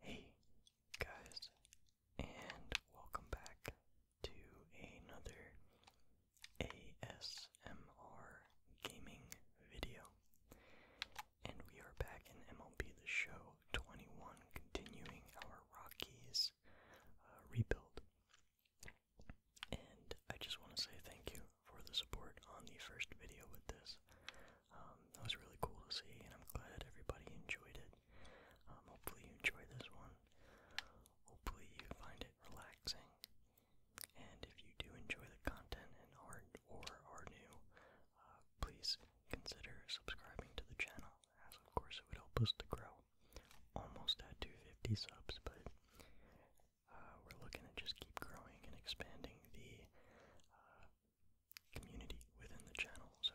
Hey guys, and welcome back to another ASMR gaming video. And we are back in MLB The Show 21, continuing our Rockies uh, rebuild. And I just want to say thank you for the support on the first video with this. Um, that was really cool to see, and I'm glad everybody enjoyed it. Um, hopefully, you enjoy this one. Hopefully, you find it relaxing. And if you do enjoy the content and art or are new, uh, please consider subscribing to the channel, as of course it would help us to grow. Almost at 250 subs, but uh, we're looking to just keep growing and expanding the uh, community within the channel. So,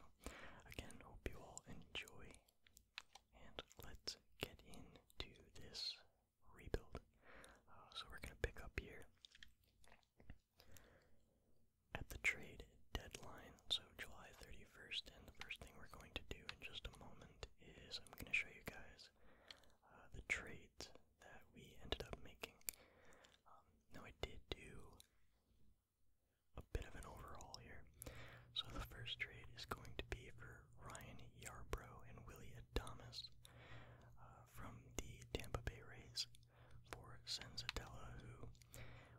again, hope you all enjoy, and let's get into this rebuild. Uh, so, we're going to pick up here at the trade deadline, so July 31st, and the first thing we're going to do in just a moment is I'm going to show you guys uh, the trades that we ended up making. Um, now, I did do a bit of an overhaul here. So, the first trade is going to be for Ryan Yarbrough and Willie Adamas uh, from the Tampa Bay Rays for Sensatella, who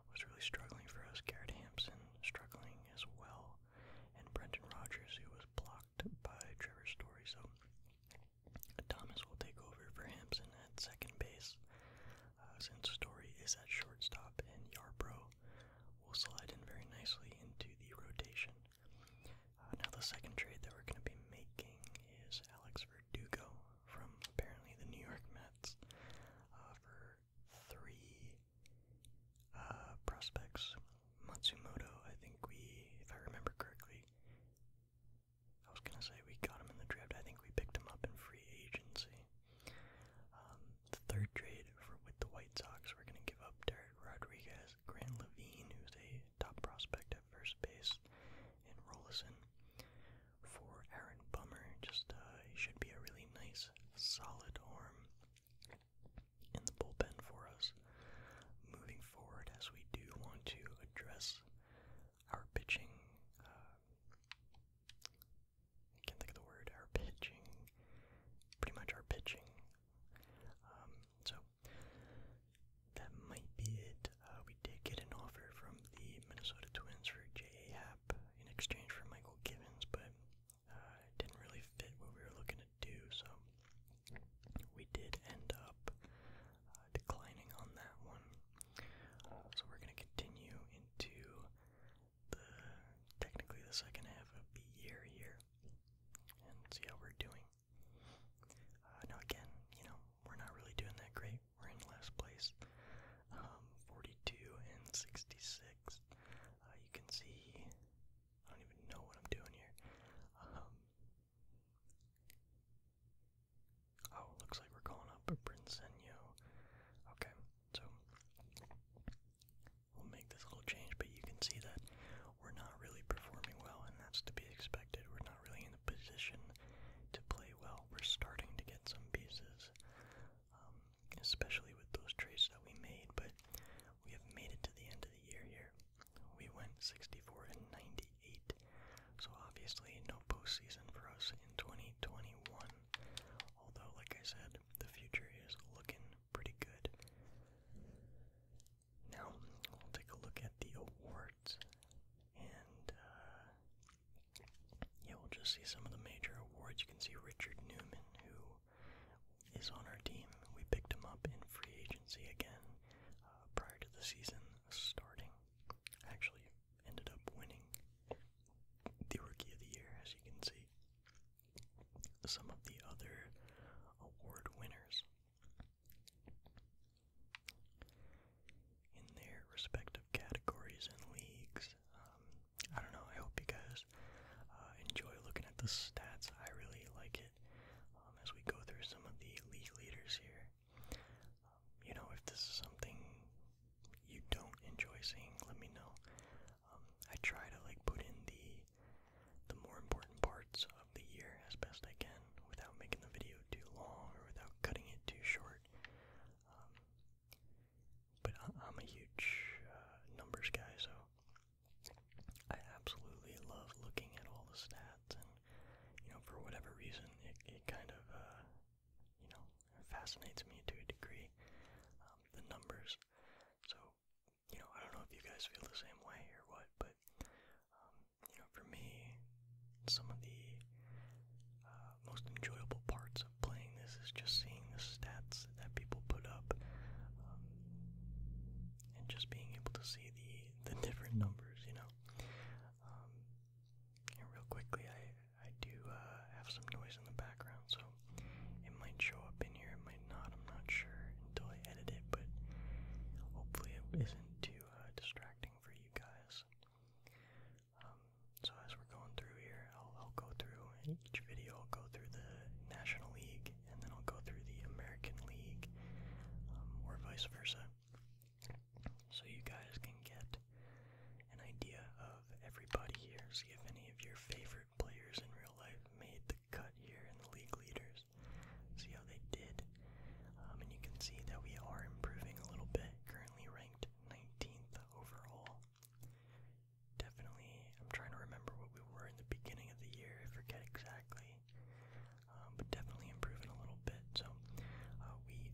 was really struggling for us. Garrett Hampson struggling as well, and Brendan Rogers, who was blocked by Trevor Story. So, Thomas will take over for Hampson at second base, uh, since Story is at shortstop, and Yarbrough will slide in very nicely into the rotation. Uh, now, the second trade that we're going to be making is Alex Verdugo from apparently the New York Mets uh, for three uh, prospects. Matsumoto, I think we, if I remember correctly, I was gonna say we got him in the draft. I think we picked him up in free agency. Um, the third trade for with the White Sox, we're gonna give up Derek Rodriguez, Grant Levine, who's a top prospect at first base, and Rollison for Aaron Bummer. Just uh, should be a really nice, solid arm in the bullpen for us moving forward as we do want to address our pitching. Uh, can't think of the word. Our pitching, pretty much our pitching. Um, so that might be it. Uh, we did get an offer from the Minnesota Twins for J.A. Happ in exchange for Michael Givens, but uh, it didn't really fit what we were looking to do. So we did end up uh, declining on that one. So we're going to continue into the technically the second half of the year here and see how we're doing. Uh, now again, you know, we're not really doing that great. We're in last place, um, 42 and 66. Uh, you can see, I don't even know what I'm doing here. Um, Oh, looks like we're calling up a Prinsenio. Okay, so we'll make this little change, but you can see that we're not really performing well, and that's to be expected. We're not really in a position to play well. We're starting to get some pieces, um, especially with those trades that we made, but we have made it to the end of the year here. We went 64 and 98, so obviously no postseason for us in 2021. Although, like I said, the future is looking pretty good. Now, we'll take a look at the awards, and uh, yeah, we'll just see some of the major awards. You can see Richard Newman, who is on our team. We picked him up in free agency again uh, prior to the season starting. Actually, ended up winning the Rookie of the Year, as you can see. Some of the other award winners in their respective categories and leagues. Um, I don't know, I hope you guys uh, enjoy looking at the stats. I really like it. Um, as we go through some of the league leaders here. you know, if this is something you don't enjoy seeing, let me know. Um, I try to like put in the the more important parts of the year as best I can without making the video too long or without cutting it too short. Um, but I am a huge uh, numbers guy, so I absolutely love looking at all the stats, and you know, for whatever reason, it it kind of uh, you know fascinates me to a degree. Um, the numbers, so you know, I don't know if you guys feel the same way or what, but um, you know, for me, some of the uh, most enjoyable parts of playing this is just seeing the stats that people put up. Um, and just being able to see the the different numbers, you know. Um, real quickly, I I do uh, have some noise in the background, so it might show up in here, it might not. I'm not sure until I edit it, but hopefully it isn't too uh, distracting for you guys. Um, so as we're going through here, I'll, I'll go through each video. I'll go through the National League and then I'll go through the American League um, or vice versa. So you guys can get an idea of everybody here. See if any of your favorite players in real life made the cut here in the league leaders. See how they did. Um, and you can see that we are improving a little bit, currently ranked 19th overall. Definitely, I'm trying to remember what we were in the beginning of the year. I forget exactly. Um, but definitely improving a little bit. So uh, we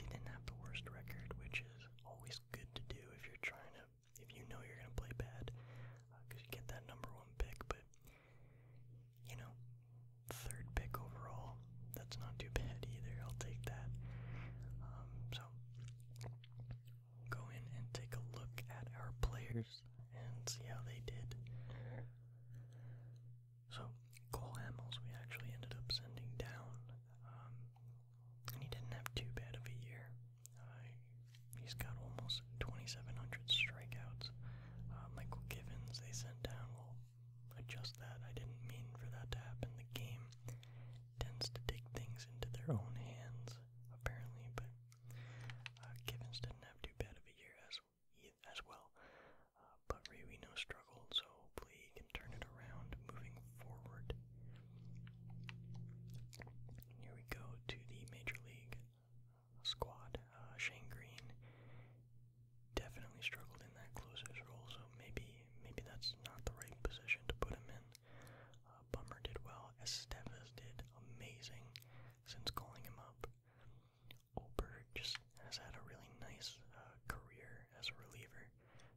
didn't have the worst record, which is always good to do if you're trying to, if you know you're going to play bad, because uh, you get that number one pick. But you know, third pick overall, that's not too bad either. I'll take that. Um, so go in and take a look at our players and see how they did. So, Cole Hamels, we actually ended up sending down, um, and he didn't have too bad of a year. Uh, he's got almost 2,700 strikeouts. Uh, Michael Givens, they sent down. We'll adjust that. I didn't mean for that to happen. The game tends to take things into their own hands, apparently, but uh, Givens didn't have too bad of a year as as well, uh, but Rewino struggled, so hopefully he can turn it around moving forward. And here we go to the Major League uh, squad. Uh, Shane Green definitely struggled in that closer's role, so maybe maybe that's not the right position to put him in. Uh, Bummer did well. Estevez did amazing since calling him up. Oberg just has had a really nice uh, career as a reliever.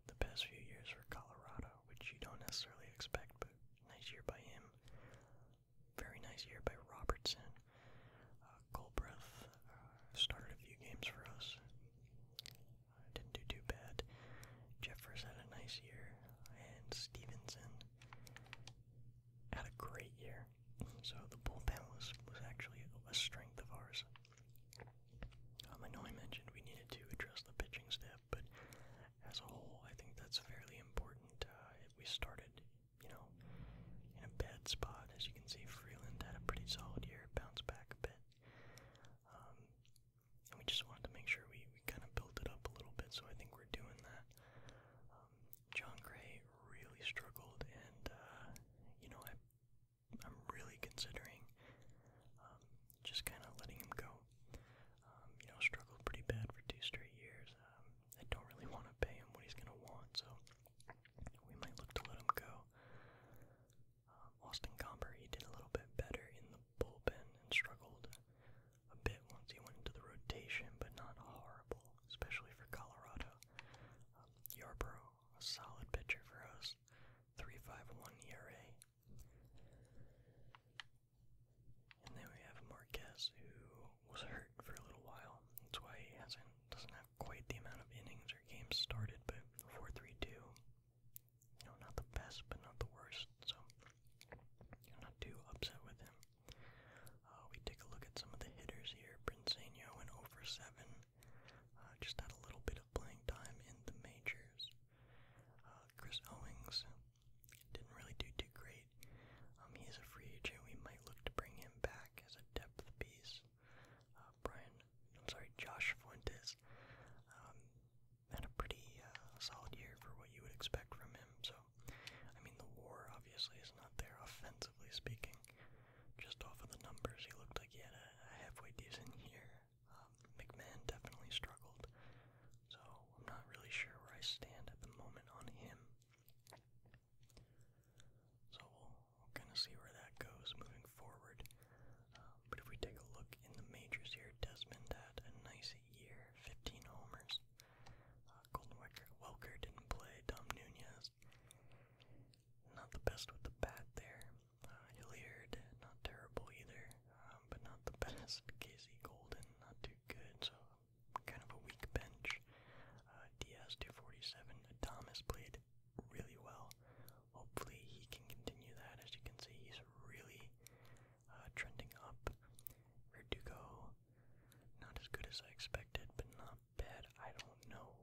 The past few years for Colorado, which you don't necessarily expect, but nice year by him. Very nice year by Robertson. Uh, Goldbreath uh, started a few games for us. Uh, didn't do too bad. Jeffers had a nice year, and Stevenson had a great year. So the bullpen was, actually a strength of ours. Um, I know I mentioned we needed to address the pitching staff, but as a whole, I think that's fairly important. Uh, we started, you know, in a bad spot. As you can see, Freeland had a pretty solid year, bounced back a bit. Um, we just wanted to make sure we, we kind of built it up a little bit, so I think we're doing that. Um, John Gray really struggled, and uh, you know, I, am really considering um, just kind of letting him go. Um, you know, struggled pretty bad for two straight years. I don't really want to pay him what he's going to want, so we might look to let him go. Austin Gomber, he did a little bit better in the bullpen and struggled a bit once he went into the rotation, but not horrible, especially for Colorado. Um, Yarbrough, a solid pitcher for us, 3.51 ERA. And then we have Marquez, who was hurt for a little while. That's why he hasn't doesn't have quite the amount of innings or games started, but 4.32, you not the best, but not the worst. So not too upset with him. Uh, we take a look at some of the hitters here. Brinsegno went over 7. Uh, just had a little bit of playing time in the majors. Uh, Chris Owings didn't really do too great. Um, a free agent. We might look to bring him back as a depth piece. Brian, sorry, Josh Fuentes. Um, had a pretty uh, solid year for what you would expect from him. So, I mean, the war obviously is not there offensively speaking. Just off of the numbers, he looked like he had a, a halfway decent year. Um, McMahon definitely struggled. So, I'm not really sure where I stand at the moment on him. So, we'll, we'll kind of see where that goes moving forward. Uh, but if we take a look in the majors here, Desmond had a nice year, 15 homers. Uh, Golden Welker, didn't play. Dom Nunez, not the best with the bat there. Uh, not terrible either, um, but not the best. Casey Golden, not too good, so kind of a weak bench. Uh, Diaz 247. Thomas played really well. Hopefully he can continue that. As you can see, he's really uh, trending up. Verdugo, not as good as I expected, but not bad. I don't know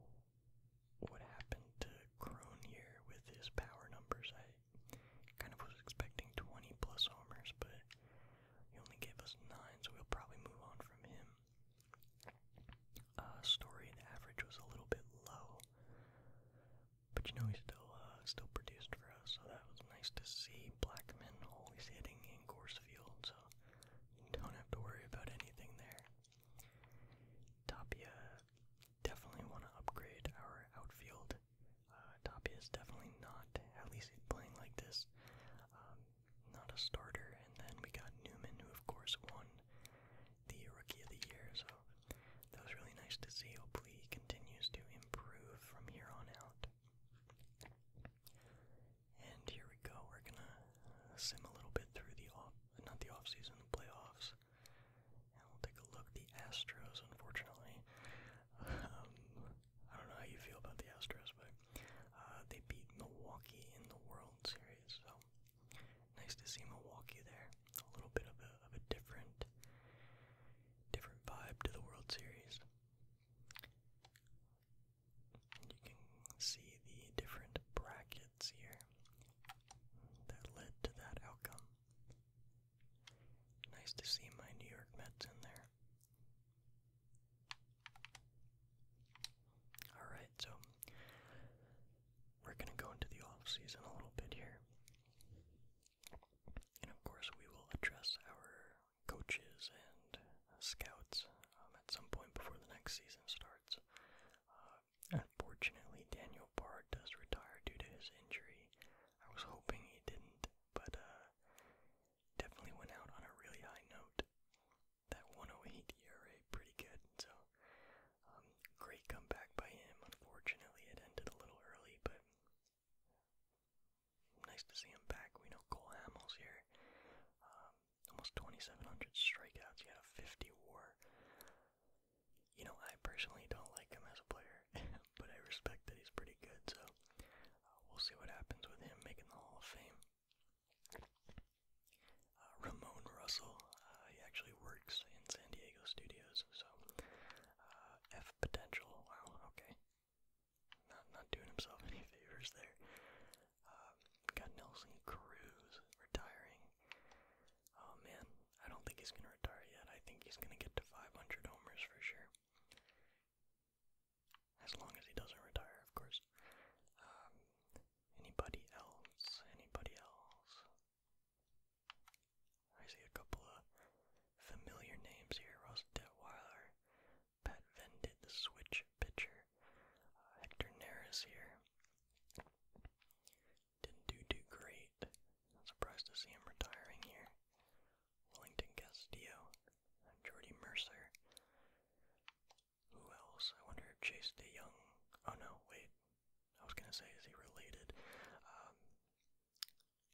what happened to Crone here with his power numbers. I kind of was expecting 20 plus homers, but he only gave us 9, so we'll probably move on from him. Uh, story, the average was a little bit low. But you know he still uh, still produced for us, so that was nice to see. black men always hitting in course field, so don't have to worry about anything there. Tapia definitely want to upgrade our outfield. Uh, Tapia is definitely not, at least playing like this, um, not a starter. And then we got Newman, who of course won the Rookie of the Year, so that was really nice to see. Hopefully, he continues to improve from here on out. And here we go. We're gonna sim a little bit through the off, not the off season, the playoffs. we'll take a look. The Astros, unfortunately, um, I don't know how you feel about the Astros, but uh, they beat Milwaukee in the World Series. So nice to see Milwaukee there. A little bit of a different different vibe to the World Series. You can see the different brackets here that led to that outcome. Nice to see my New York Mets in there. Alright, so we're going to go into the off season a little bit here. And of course, we will address our coaches and uh, scouts um, at some point before the next season starts. Uh, unfortunately, Daniel Bard does retire due to his injury. I was hoping he didn't, but uh, definitely went out on a really high note. That 108 ERA, pretty good. So, um, great comeback by him. Unfortunately, it ended a little early, but nice to see him back. We know Cole Hamels here. Um, almost 2,700 strikeouts. He had a 50 war. You know, I personally don't like him as a player, but I respect that he's pretty good, so uh, we'll see what happens with him making the Hall of Fame. Uh, Ramon Russell, uh, he actually works in San Diego studios, so uh, F potential. Wow. Okay. Not not doing himself any favors there. Uh, got Nelson Cruz retiring. Oh man, I don't think he's gonna retire yet. I think he's gonna get to 500 homers for sure. As long as he doesn't retire, of course. Um, anybody else? Anybody else? I see a couple of familiar names here. Ross Detweiler, Pat Vendit, the switch pitcher. Uh, Hector Neris here. Didn't do too great. surprised to see him retiring here. Wellington Castillo, Jordy Mercer. Who else? I wonder if Chase DeYoung. Oh no, wait. I was gonna say, is he related? Um,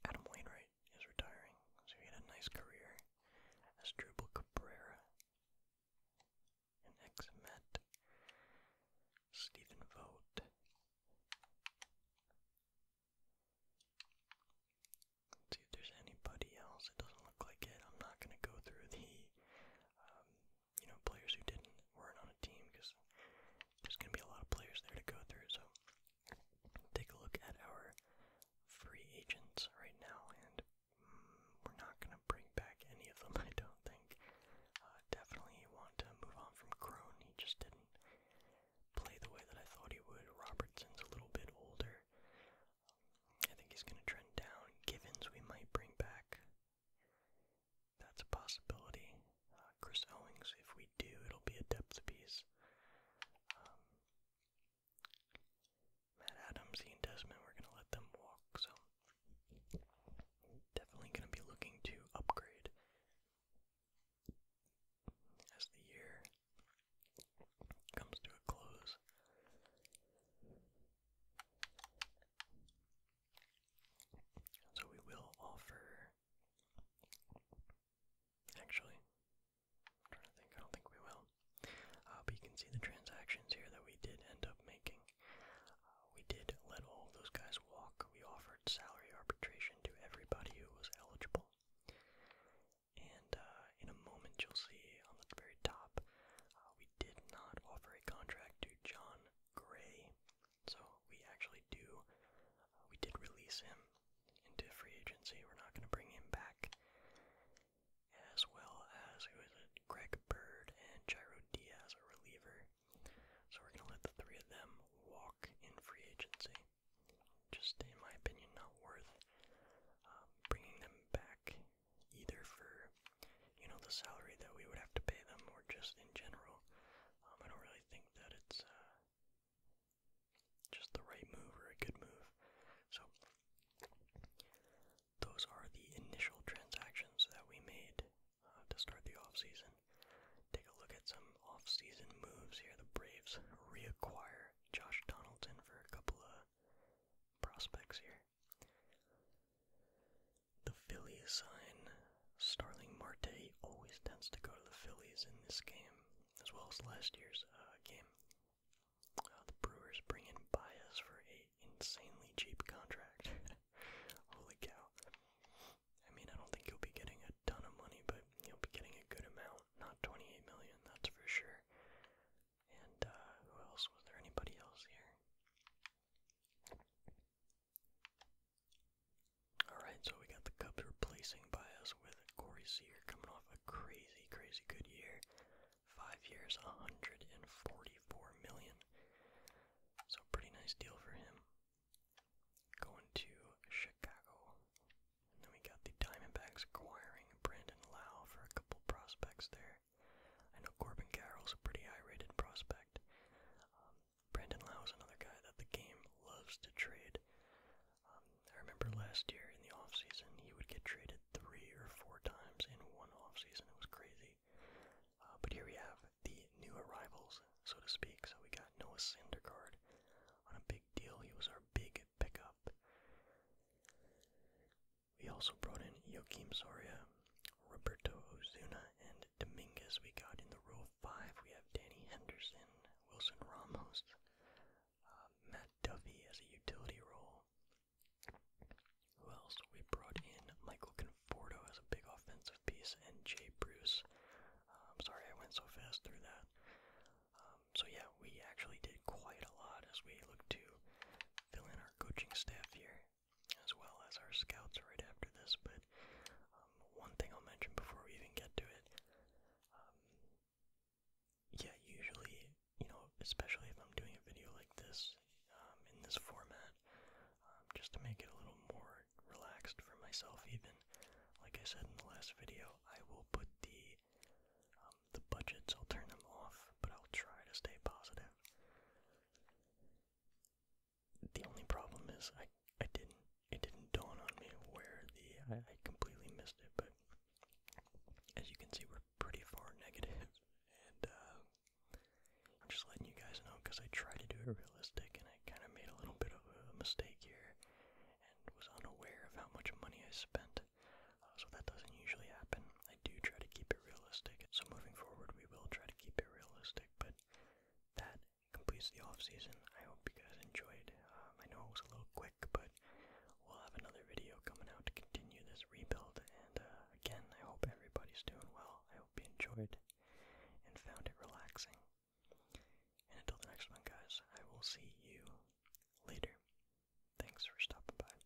Adam Wainwright is retiring, so he had a nice career as Drupal Cabrera, an ex-Met, Stephen Vogt, see if there's anybody else. It doesn't look like it. I'm not gonna go through the, um, you know, players who didn't weren't on a team because there's going to be a lot of players there to go through. So take a look at our free agents right now, and mm, we're not going to bring back any of them, I don't think. Uh, definitely want to move on from Crone. He just didn't play the way that I thought he would. Robertson's a little bit older. I think he's going to trend down. Givens we might bring back. That's a possibility. Uh, Chris Owings, if we do, it'll be a depth piece. Um, Matt Adams, Ian Desmond, we're going to let them walk, so definitely going to be looking to upgrade as the year comes to a close. So we will offer Actually, trying to think. I don't think we will. Uh, but you can see the transactions here that we did end up making. Uh, we did let all of those guys walk. We offered salary arbitration to everybody who was eligible. And uh, in a moment, you'll see on the very top, uh, we did not offer a contract to John Gray. So we actually do, uh, we did release him into free agency. We're not going to bring him back. As well as who is it? Greg Bird and Jairo Diaz, a reliever. So we're going to let the three of them walk in free agency. Just in my opinion, not worth um, bringing them back either for you know the salary that we would have to pay them or just in general. Um, I don't really think that it's uh, just the right move or a good move. So, those are the initial transactions that we made uh, to start the offseason. Take a look at some off-season moves here. The Braves reacquire Josh Donaldson for a couple of prospects here. The Phillies sign. Starling Marte always tends to go to the Phillies in this game, as well as last year's uh, game. Uh, the Brewers bring in Bias for a insanely cheap contract. Holy cow. I mean, I don't think you will be getting a ton of money, but you will be getting a good amount. Not 28 million, that's for sure. And uh, who else? Was there anybody else here? Alright, so we got the Cubs replacing Bias with Corey Seager coming off a crazy, crazy good year. Five years, 144 million. So pretty nice deal for him. Going to Chicago. And then we got the Diamondbacks acquiring Brandon Lau for a couple prospects there. I know Corbin Carroll's a pretty high rated prospect. Um, Brandon Lau is another guy that the game loves to trade. Um, I remember last year in the offseason, he would get traded three or four times in one offseason. It was crazy. Uh, but here we have the new arrivals, so to speak. So we got Noah Syndergaard on a big deal. He was our big pickup. We also brought in Joachim Soria, Roberto Ozuna, and and Dominguez we got in the row of five. We have Danny Henderson, Wilson Ramos, uh, Matt Duffy as a utility role. Who else? We brought in Michael Conforto as a big offensive piece and Jay Bruce. Uh, I'm sorry I went so fast through that. Um, so yeah, we actually did quite a lot as we look to fill in our coaching staff here as well as our scouts right after this. But um, one thing I'll mention before we even get to it um, yeah, usually, you know, especially if I'm doing a video like this um, in this format, um, just to make it a little more relaxed for myself, even like I said in the last video, I will put the the budgets. I'll turn them off, but I'll try to stay positive. The only problem is I I didn't it didn't dawn on me where the I, completely missed it, but as you can see we're pretty far negative and uh I'm just letting you guys know because I tried to do it realistic and I kind of made a little bit of a mistake here and was unaware of how much money I spent. Uh, so that doesn't usually happen. I do try to keep it realistic. So moving forward, we will try to keep it realistic, but that completes the off season. I hope you guys enjoyed. Um, I know it was a little quick, but we'll have another video coming out to continue this rebuild. And uh, again, I hope everybody's doing well. I hope you enjoyed and found it relaxing. And until the next one, guys, I will see you later. Thanks for stopping by.